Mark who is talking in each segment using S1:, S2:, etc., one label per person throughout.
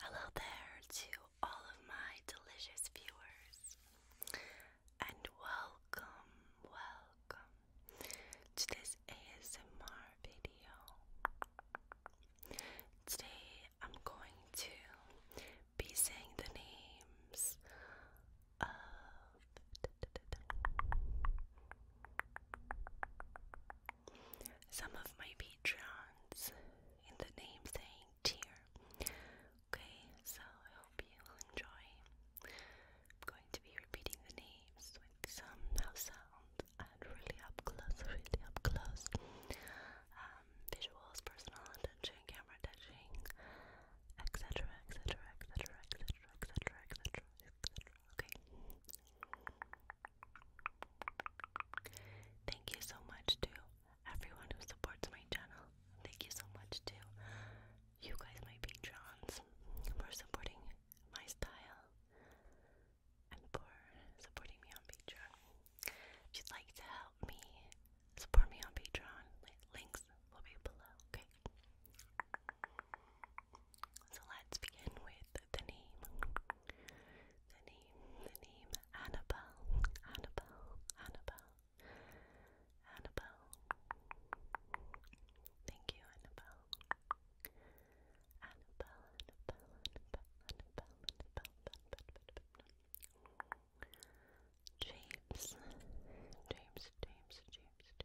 S1: Hello there to all of my delicious viewers, and welcome, welcome to this ASMR video. Today I'm going to be saying the names of some of my patrons in the name saying tier. Okay, so I hope you will enjoy. I'm going to be repeating the names with some now sound and really up close, really up close. Um, visuals, personal attention, camera touching, etc., etc., etc., etc., etc., etc., okay? Thank you so much to everyone who supports my channel. Thank you so much to you guys, my patrons, for supporting my style and for supporting me on Patreon. If you'd like to help me, support me on Patreon. Links will be below, okay? So let's begin with the name. The name, the name Annabelle, Annabelle, Annabelle, Annabelle. Thank you, Annabelle. Annabelle, Annabelle, Annabelle, Annabelle, Annabelle, Annabelle. James, James, James, James,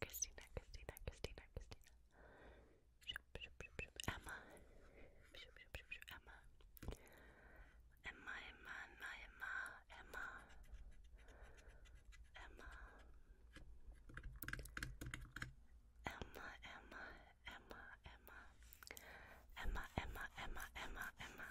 S1: Christina, Christina, Christina, Christina. Shoop, shoop, shoop, shoop. Emma. Shoop, shoop, shoop, shoop. Emma. Emma, Emma, Emma, Emma, Emma. Emma. Emma, Emma, Emma, Emma. Emma, Emma, Emma, Emma, Emma.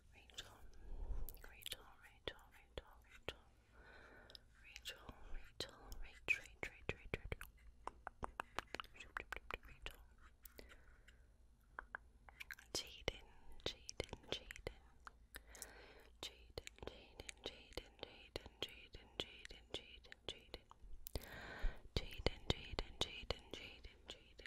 S1: Rachel, Rachel, Rachel, Rachel, Rachel, Rachel, Rachel, Rachel, Rachel, Rachel, Rachel, Jaden, Jaden, Jaden, Jaden, Jaden, Jaden, Jaden, Jaden, Jaden, Jaden, Jaden, Jaden, Jaden, Jaden, Jaden, Jaden.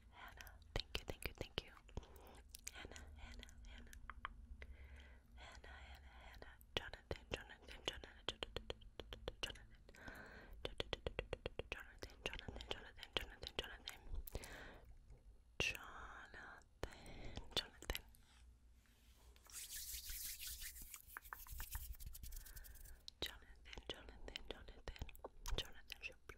S1: Hannah, thank you, thank you, thank you. Hannah, Hannah, Hannah. Hannah, Hannah, Jonathan. Jonathan, Jonathan, Jonathan, Jonathan, Jonathan. Jonathan, Jonathan. Jonathan, Jonathan, Jonathan, Jonathan,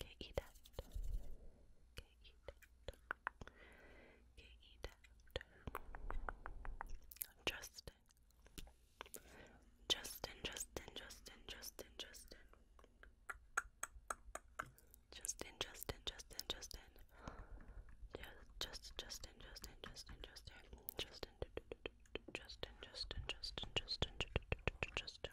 S1: Get eat out. Get eat out. Justin. Justin, Justin, Justin, Justin, Justin. Justin, Justin, Justin, Justin, Justin, Justin, Justin, Justin, Justin, Justin, Justin, Justin, Justin, Justin.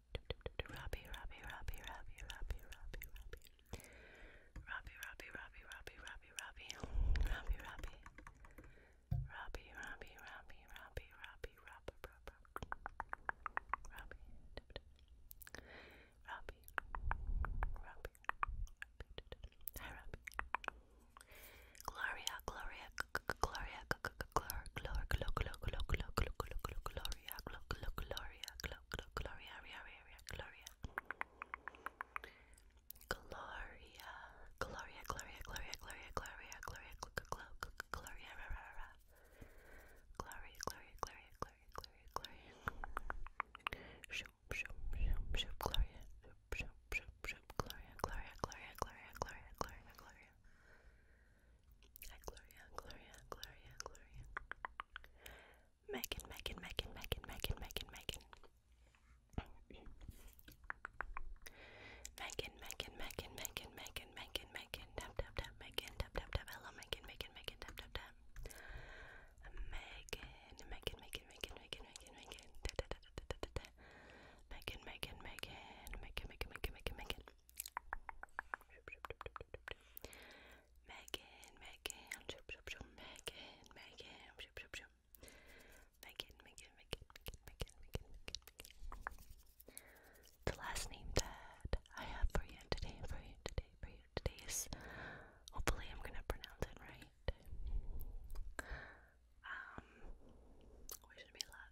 S1: Robbie, Robbie, Robbie, Robbie, Robbie, Robbie, Robbie. Robbie, Robbie, Robbie, Robbie, Robbie, Robbie. Robbie, Robbie. Robbie, Robbie, Robbie, Robbie, Robbie, Robbie, Robbie. Robbie. Robbie. Robbie. Hi, Robbie. Gloria, Gloria, Gloria, Gloria, Gloria, Gloria, Gloria, Gloria, Gloria, Gloria, Gloria, Gloria, gl gl Gloria, gl gl Gloria, Gloria, Gloria, Gloria, Gloria, Gloria, Gloria, Gloria, Gloria, Gloria, Gloria, Gloria, Gloria, Gloria, Gloria, Gloria, Gloria, Gloria. Shoop, shoop, shoop, shoop, Gloria. Shoop, shoop, shoop, shoop, Gloria, Gloria, Gloria, Gloria, Gloria, Gloria, Gloria. Hi, Gloria, Gloria, Gloria, Gloria. Megan, Megan, Megan, Megan, Megan, Megan, Megan. Megan, Megan, Megan, Megan, Megan, Megan, Megan, tap, tap, tap, Megan, tap, tap, tap, hello, Megan, Megan, Megan, tap, tap, tap. Megan, Megan, Megan, Megan, Megan, Megan, Megan, da, da, da, da, da, da, da. Megan, Megan, Megan, Megan, Megan, Megan, Megan, Megan. Megan, Megan, Megan, Megan, Megan, Megan, Megan, Megan, Megan, Megan. The last name that I have for you today, for you today, for you today is hopefully I'm gonna pronounce it right. Um, wish me luck.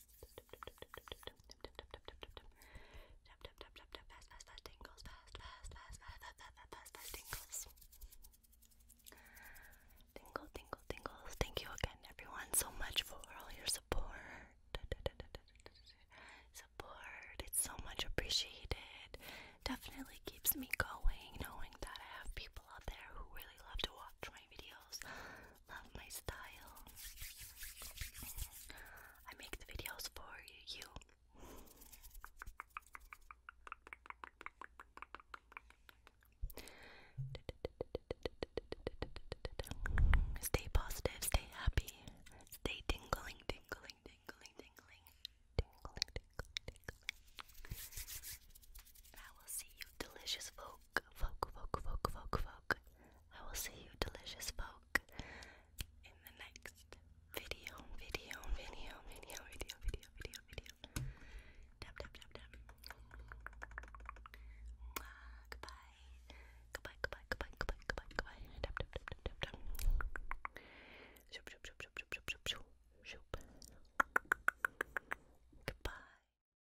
S1: tingles. tingles. tingles. Thank you again, everyone, so much for all your support. Support. It's so much appreciated. Definitely keeps me going knowing that I have people out there who really love to watch my videos, love my style. I make the videos for you. Stay positive, stay happy, stay tingling, tingling, tingling, tingling, tingling, tingling, I will see you, delicious folks folk, folk, folk, folk, folk, I will see you delicious folk in the next video, video, video, video, video, video, video, video. Tap, tap, tap, tap. goodbye. Goodbye, goodbye, goodbye, goodbye, goodbye, goodbye. Tap, tap, tap, tap, tap, tap. Shoop, shoop, shoop, shoop, shoop, shoop, shoop. Goodbye.